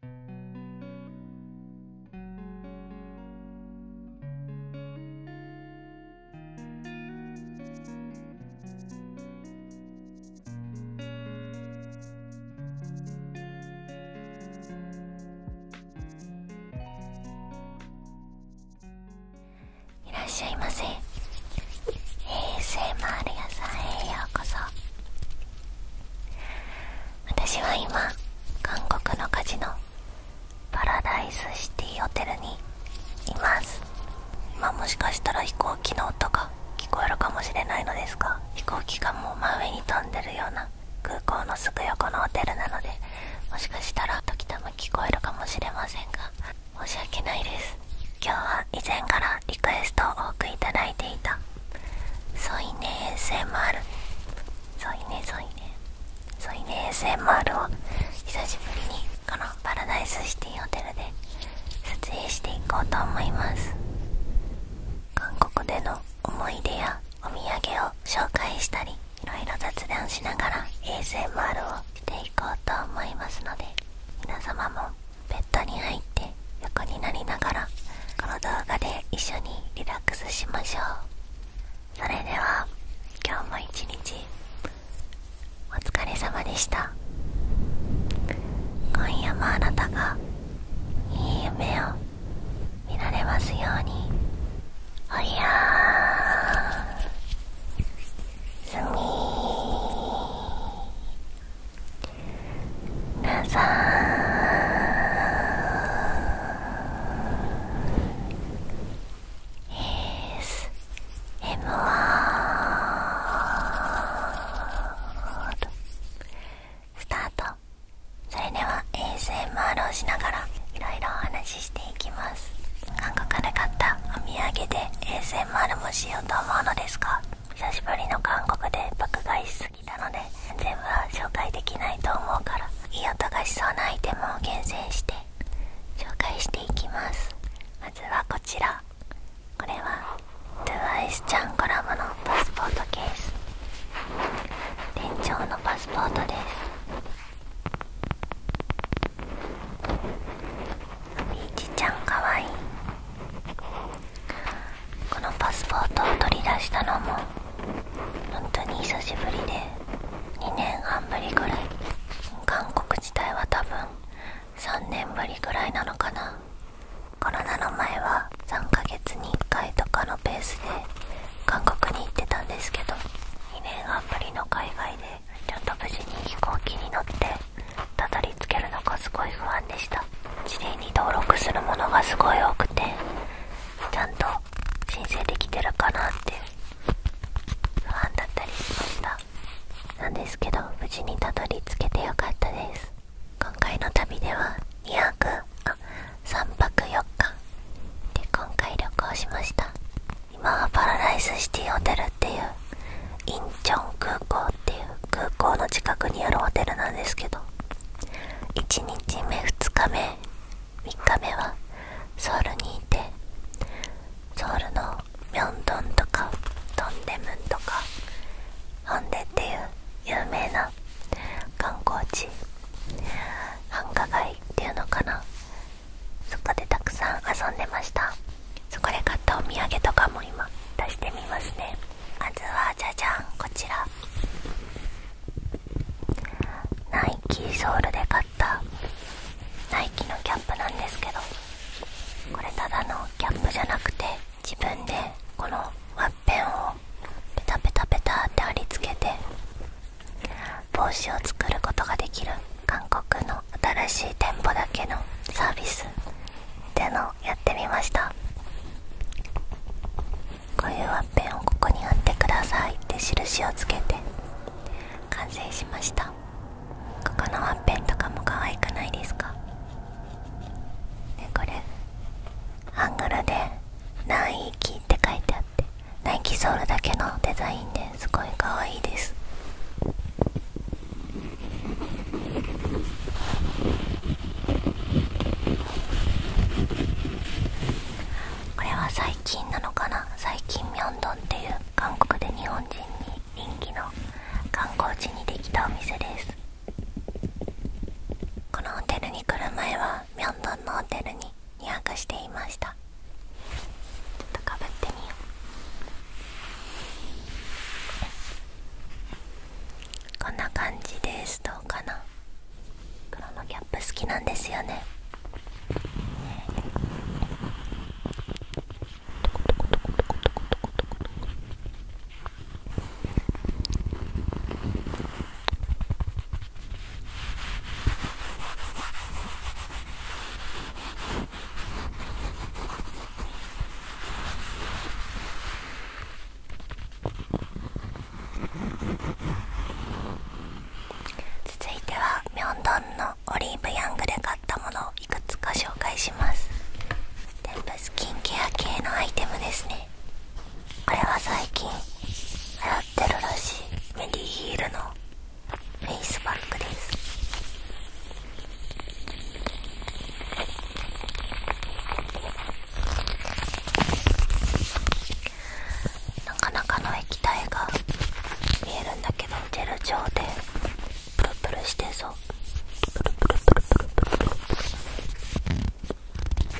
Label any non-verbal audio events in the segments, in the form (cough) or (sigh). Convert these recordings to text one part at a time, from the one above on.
いらっしゃいませ ASMR 屋さんへようこそ私は今韓国のカジのパラダイスシティホテルにいます今もしかしたら飛行機の音が聞こえるかもしれないのですが飛行機がもう真上に飛んでるような空港のすぐ横のホテルなのでもしかしたら時たま聞こえるかもしれませんが申し訳ないです今日は以前からリクエストを多くいただいていたソイネ s m r ソイネソイネソイネ s m r を久しぶりにこのパラダイスシティホテルで撮影していこうと思います韓国での思い出やお土産を紹介したりいろいろ雑談しながら ASMR をしていこうと思いますので皆様もベッドに入って横になりながらこの動画で一緒にリラックスしましょうそれでは今日も一日お疲れ様でした今夜もあなたがいい夢を見られますようにおやすみ皆さんエスエムワスタートそれでは ASMR をしながらいろいろお話ししていきます韓国で買ったお土産で ASMR もしようと思うのですが久しぶりの韓国で爆買いしすぎたので全部は紹介できないと思うからいい音がしそうなアイテムを厳選して紹介していきますまずはこちらこれは TWICE ちゃんコラボのパスポートケース店長のパスポートですビーチちゃんかわいいこのパスポートを取り出したのも本当に久しぶりで2年半ぶりぐらい韓国自体は多分3年ぶりぐらいなのかなコロナの前は3ヶ月に1回とかのペースで韓国に行ってたんですけど2年半ぶりの海外でちょっと無事に飛行機に乗ってたどり着けるのかすごい不安でした事例に登録するものがすごい多くてちゃんと申請できてるかなって不安だったりしましたなんですけど無事にたどり着けてよかったです今回の旅では2泊あ3泊4日で今回旅行しました今はパラダイスシティホテルっていうインチョン空港っていう空港の近くにあるホテルなんですけど1日目2日目3日目はソウルにいてソウルのミョンドンとかトンデムンとかホンデっていう有名な観光地繁華街っていうのかなそこでたくさん遊んでましたそこで買ったお土産とかも今出してみますねまずはじゃじゃんこちらナイキソウルで買ったナイキのキャップなんですけどこれただのギャップじゃなくて自分でこのワッペンをペタペタペタって貼り付けて帽子を作ることができる韓国の新しい店舗だけのサービスっのやってみましたこういうワッペンをここに貼ってくださいって印をつけて完成しましたここのワッペンとかも可愛くないですかでこれアングルでナイキって書いてあってナイキソウルだけのデザインですごい可愛いですこれは最近なのかな最近ミョンドンっていう韓国で日本人に人気の観光地にできたお店ですこのホテルに来る前はミョンドンのホテルに2泊していましたちょっとかぶってみようこんな感じですどうかな黒のキャップ好きなんですよね続いてはミョンドンのオリーブヤングで買ったものをいくつか紹介します全部スキンケア系のアイテムですねこれは最近流行ってるらしいメディヒールのフェイスバッグですなかなかの液体が見えるんだけどジェル状でプルプルしてそう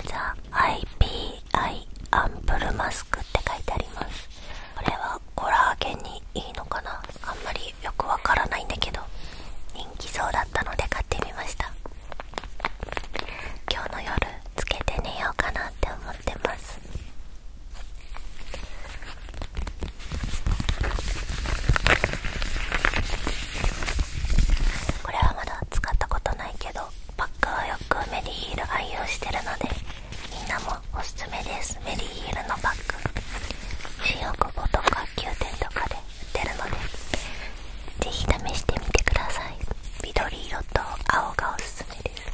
ザ・ IPI アンプルマスクって書いてありますこれはコラーゲンにいいのかなあんまりよくわからないんだけど人気そうだったので買ってみました今日の夜つけて寝ようかなって思ってますこれはまだ使ったことないけどパックはよくメリーヒール愛用してるのでみんなもおすすめですメリーヒルのバッグ新大久保とか9店とかで売ってるのでぜひ試してみてください緑色と青がおすすめです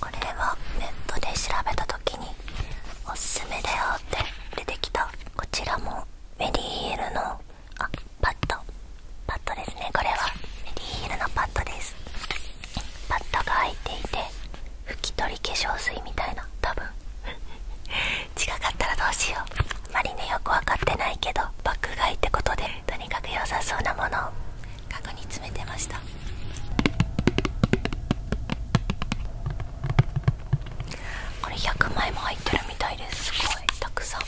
これはネットで調べた時におすすめだよって出てきたこちらもメリーヒールのあパッドパッドですねこれはメディヒールのパッドですパッドが開いていて拭き取り化粧水みたいな多分 (laughs) 近かったらどうしようあまりねよく分かってないけど爆買いってことでとにかく良さそうなものをカゴに詰めてましたこれ100枚も入ってるみたいですすごいたくさん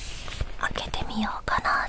開けてみようかな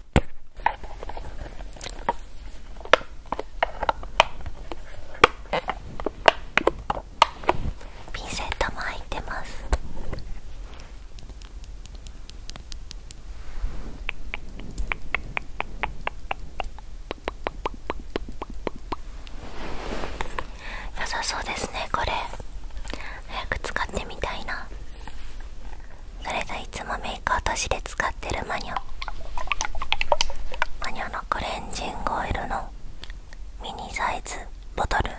ピンセットも入ってます良さそうですねこれ早く使ってみたいなそれがいつもメイク落としで使ってるマニョマニョのクレンジングオイルのミニサイズボトル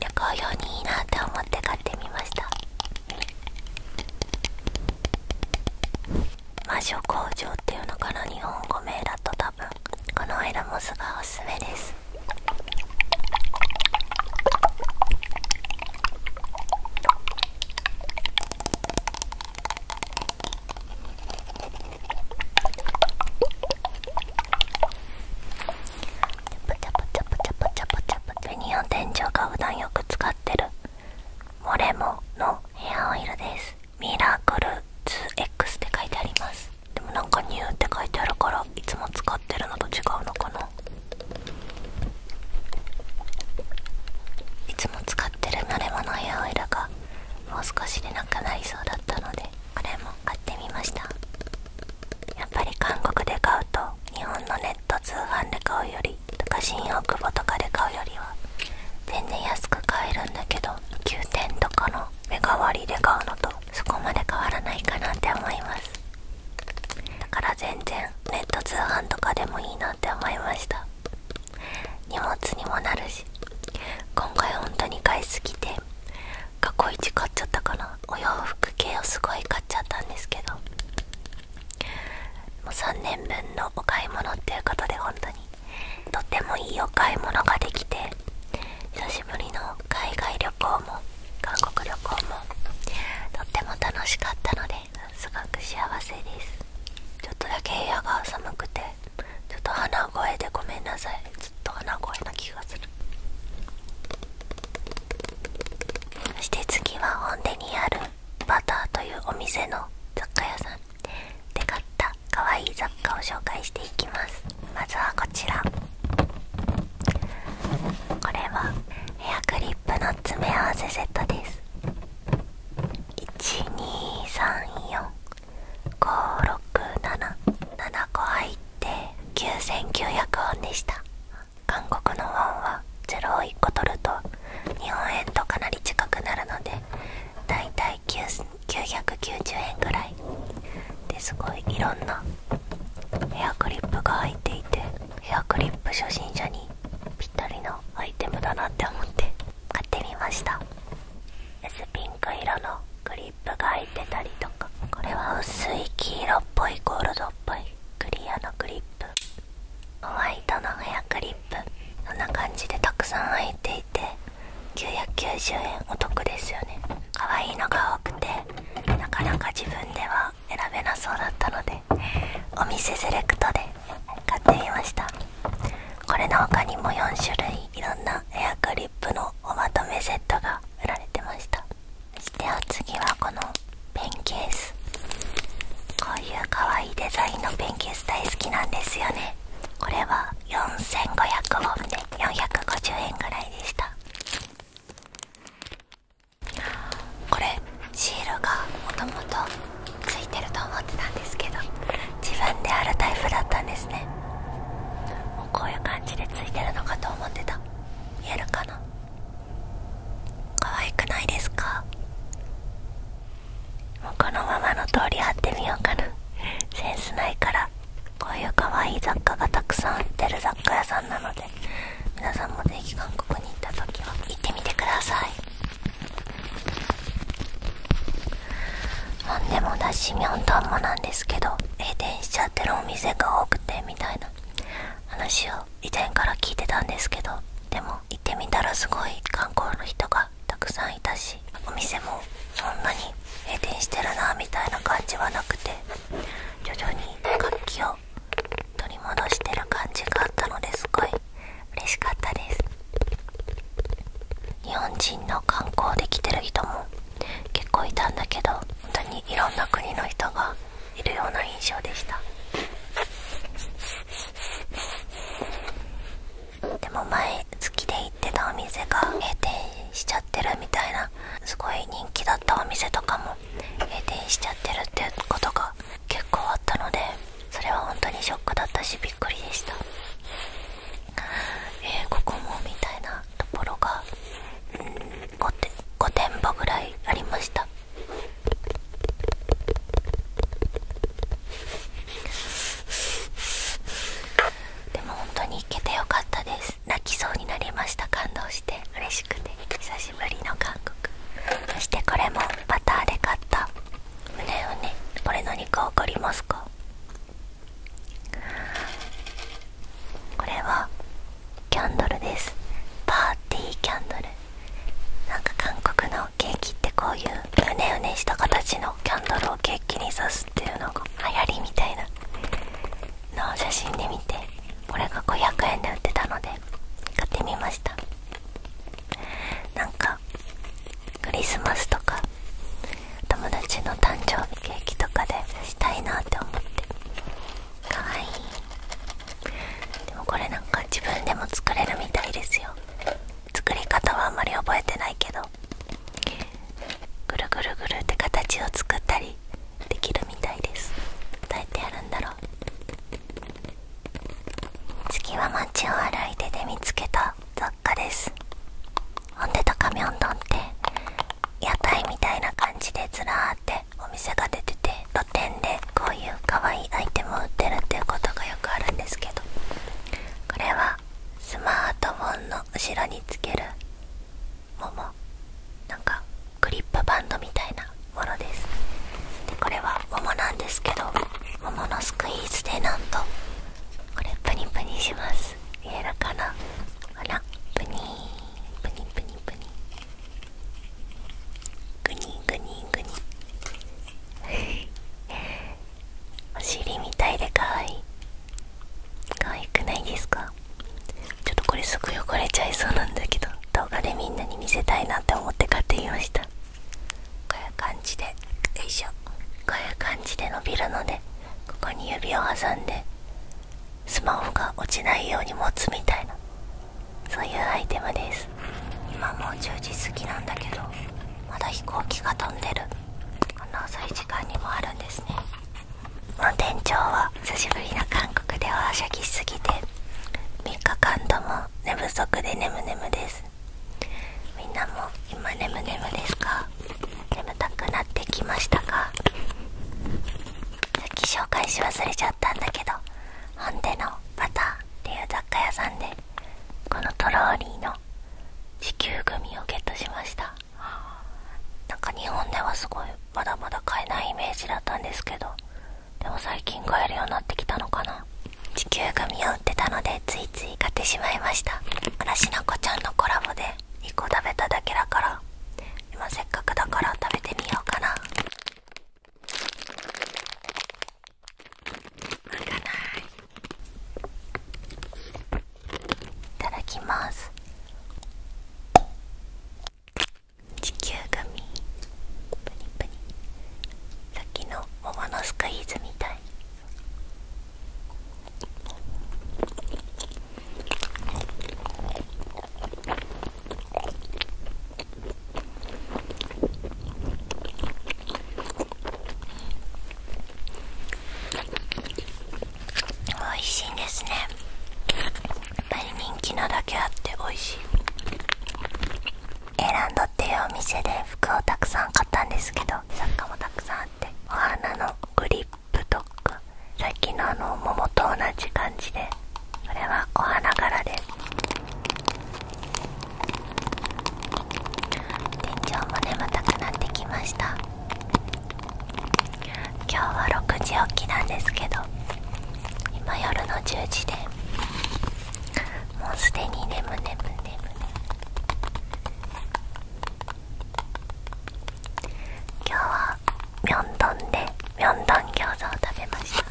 旅行用にいいなって思って買ってみました魔女工場っていうのかな日本語名だと多分このオイモスがおすすめですベニオ天井が普段よく使ってるモレモのヘアオイルですミラクル 2X って書いてありますでもなんかニューって書いてあるからいつも使ってるのと違うのかないつも使ってる慣れ物やオイルがもう少しでなくなりそうだったのでこれも買ってみましたやっぱり韓国で買うと日本のネット通販で買うよりとか新大久保とかで買うよりは全然安く買えるんだけど9点とかのメ代割りで買うのとそこまで変わらないかなって思いますだから全然ネット通販とかでもいいなって思いました荷物にもなるし今回本当に買いすぎて過去一買っちゃったかなお洋服系をすごい買っちゃったんですけどもう3年分のお買い物っていうことで本当にとってもいいお買い物ができて久しぶりの海外旅行も韓国旅行もとっても楽しかったのですごく幸せですちょっとだけ部屋が寒くてちょっと鼻声でごめんなさいずっと鼻声な気がするそして次は本店にあるバターというお店の雑貨屋さんで買った可愛い雑貨を紹介していきますまずはこちらこれはヘアクリップの詰め合わせセットです1234567 7個入って9900ウォンでした韓国のウォンは0を1個取ると日本円とかなり近くなるのでだいたい990円ぐらいですごいいろんなヘアクリップが入いていてヘアクリップ初心者にぴったりのアイテムだなって思って買ってみました s ピンク色のクリップが入ってたりとかこれは薄い黄色っぽいゴールドっぽいクリアのクリップホワイトのヘアクリップこんな感じでたくさん入っていて990円お得ですよね可愛いのが多くてなかなか自分では選べなそうだったのでお店セレクトで買ってみましたこれの他にも4種類いろんなエアクリップのおまとめセットが売られてましたそしてお次はこのペンケースこういうかわいいデザインのペンケース大好きなんですよねこれは4500ウォンで450円ぐらいでしたこれシールがもともとついてると思ってたんですけど自分であるタイプだったんですねもうこういう感じでついてるのかと思ってた見えるかな可愛くないですかもうこのままの通り貼ってみようかなセンスないからこういう可愛い雑貨がたくさん売ってる雑貨屋さんなので皆さんもぜひ韓国に行った時は行ってみてください何でもだしミョンドンもなんですけど閉店しちゃってるお店が多くてみたいな話を以前から聞いてたんですけどでも行ってみたらすごい観光の人がたくさんいたしお店もそんなに閉店してるなみたいな感じはなくて徐々に活気を取り戻してる感じがあったのですごい嬉しかったです日本人の観光で来てる人も結構いたんだけど本当にいろんな国の人がいるような印象でしたでも前好きで行ってたお店が閉店しちゃってるみたいなすごい人気だったお店とかも閉店しちゃってるってうことが結構あったのでそれは本当にショックだったしびっくりでしたえここもみたいなところがうん 5, て5店舗ぐらいありましたでも本当に行けてよかったです泣きそうになりました感動して嬉しくて久しぶりの韓国そしてこれもバターで買ったうねうねこれ何か分かりますかこれはキャンドルですパーティーキャンドルなんか韓国のケーキってこういううねうねした形のキャンドルをケーキに刺すスっていうのが流行りみたいなのを写真で見てこれが500円で売ってたので買ってみましたなんかクリスマスとか友達の誕生日ケーキとかでしたいなって思ってかわいいでもこれなんか自分でも作れるみたいですよ作り方はあんまり覚えてないけどぐるぐるぐるって形を作ったりできるみたいですどうやってやるんだろう次は街を歩いてで見つけた雑貨ですほんで高みょんんって屋台みたいな感じでずらーってお店が出てて露店でこういう可愛いアイテムを売ってるっていうことがよくあるんですけどこれはスマートフォンの後ろにつけるももなんかクリップバンドみたいなものですでこれは桃なんですけど桃のスクイーズでなんとこれプニプニします見えるかなほらプニープニプニプニグニーグニグニ (laughs) お尻みたいでかわいい可愛くないですかちょっとこれすぐ汚れちゃいそうなんだけど動画でみんなに見せたいなって思って買ってみましたこういう感じでよいしょこういう感じで伸びるのでここに指を挟んでスマホが落ちないように持つみたいなそういうアイテムです今もう10時過ぎなんだけどまだ飛行機が飛んでるこんな遅い時間にもあるんですね店長は久しぶりな韓国でおはしゃぎしすぎて3日間とも寝不足で眠眠ですみんなも今眠眠ですか眠たくなってきましたかさっき紹介し忘れちゃったんだけどホンデのバターっていう雑貨屋さんでこのトローリーの地球グミをゲットしましたなんか日本ではすごいまだまだ買えないイメージだったんですけどでも最近買えるようになってきたのかな地球グミを売ってたのでついつい買ってしまいました嵐の子ちゃんのコラボで1個食べただけだから今せっかくだから食べてみようかな開かないい、ただきます地球組プニプニさっきの桃のスクイーズみたい美味しいですねやっぱり人気なだけあって美味しいエランドっていうお店で服をたくさん買ったんですけどサッカーもたくさんあってお花のグリップとかさっきのあの桃と同じ感じでこれはお花柄です。天井も眠たくなってきました今日は6時起きなんですけど今夜の10時でもうすでに眠眠眠眠今日はミョンドンでミョンドン餃子を食べました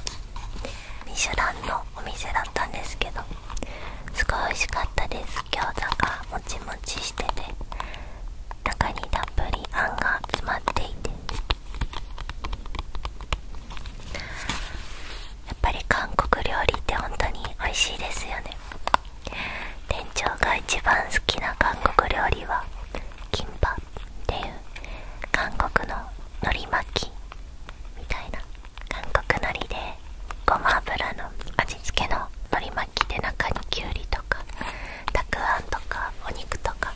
ミシュランのお店だったんですけどすごい美味しかったです餃子がもちもちしてて中にたっぷりあんが詰まっていてやっぱり韓国料理って本当に美味しいですよね店長が一番好きな韓国料理はキンパっていう韓国の海苔巻きみたいな韓国のりでごま油の味付けの海り巻きで中にきゅうりとかたくあんとかお肉とか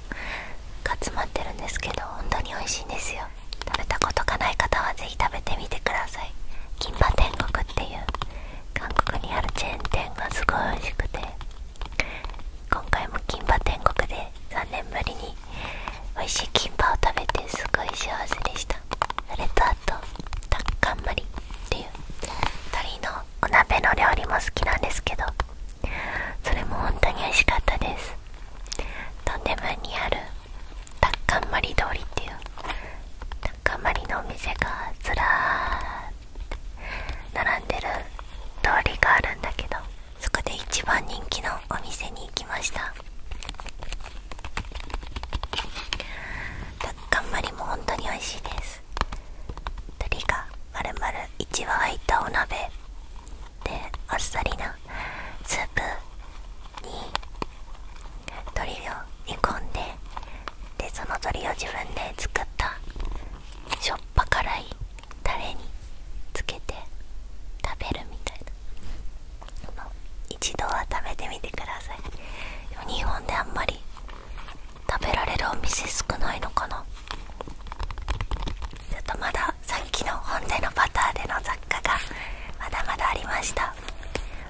が詰まってるんですけど本当に美味しいんですよ食べたことがない方はぜひ食べてみてくださいキンパ天国っていう韓国にあるチェーン店がすごい美味しくて今回も金馬天国で3年ぶりに美味しいキンパを食べてすごい幸せでしたとタッカンマリっていう鳥のお鍋の料理も好きなんですけどそれも本当に美味しかったですトンもムにあるタッカンマリ通りっていうタッカンマリのお店がずらーっと並んでる通りがあるんだけどそこで一番人気のお店に行きましたタッカンマリも本当に美味しいです鶏が丸々一羽入いたお鍋であっさりなスープに鶏を煮込んででその鶏を自分で作ったしょっぱ辛いタレにつけて食べるみたいな一度は食べてみてくださいでも日本であんまり食べられるお店少ないのかなちょっとまださっきの本でのバターでの雑貨がまだまだありました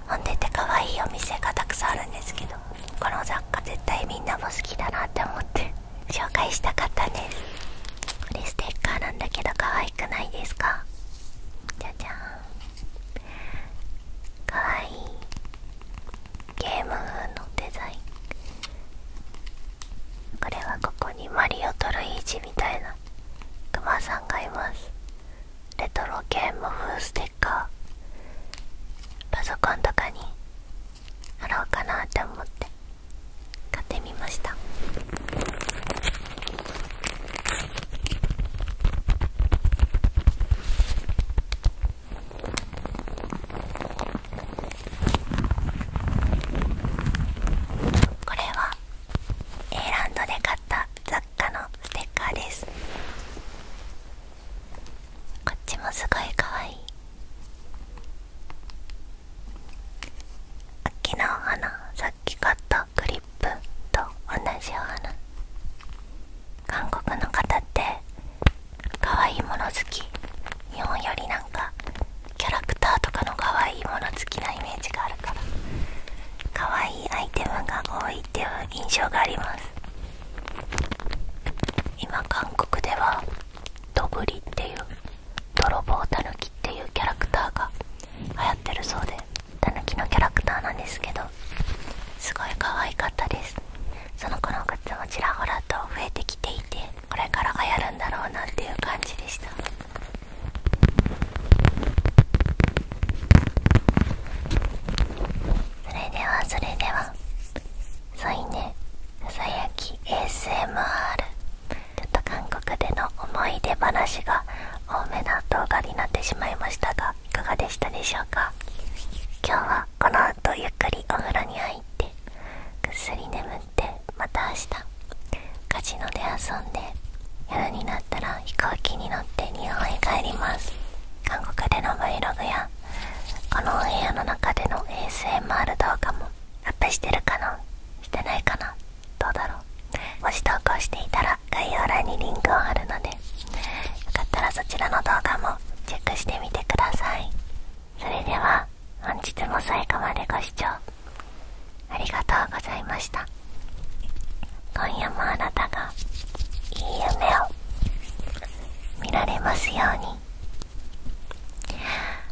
本でって可愛いお店がたくさんあるんですけどこの雑貨絶対みんなも好きだなって思って紹介したかったんですこれステッカーなんだけど可愛くないですかじゃじゃーんかわいいゲーム風のデザインこれはここにマリオトルイージみたいなクマさんがいますレトロゲーム風ステッカーパソコンとかに貼ろうかなって思って買ってみましたこれは A ランドで買った雑貨のステッカーですこっちもすごいかわいい秋の花さっき買ったとクリップと同じような。韓国の方って可愛いもの好き日本よりなんかキャラクターとかの可愛いもの好きなイメージがあるから可愛いアイテムが多いっていう印象があります今韓国ではドブリっていう泥棒たぬきっていうキャラクターが流行ってるそうでたぬきのキャラクターなんですけどすごい可愛かったですその子のグッズもちらほらと増えてきていてこれから流行るんだろうなっていう感じでしたそれではそれではそういねささやき ASMR ちょっと韓国での思い出話が多めな動画になってしまいましたがいかがでしたでしょうか今日はこの後ゆっくりお風呂に入ってぐっすり眠ってまた明日カジノで遊んで夜になったら飛行機に乗って日本へ帰ります韓国での Vlog やこのお部屋の中での ASMR 動画もアップしてるかなしてないかなどうだろうもし投稿していたら概要欄にリンクを貼るのでよかったらそちらの動画もチェックしてみてくださいそれでは本日も最後までご視聴ありがとうございました今夜もあなたがいい夢を見られますように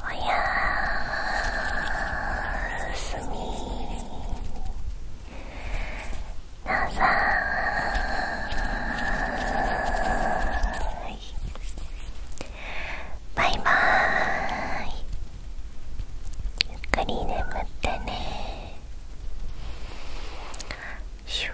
おやすみなさいバイバーイゆっくり眠ってねシュッ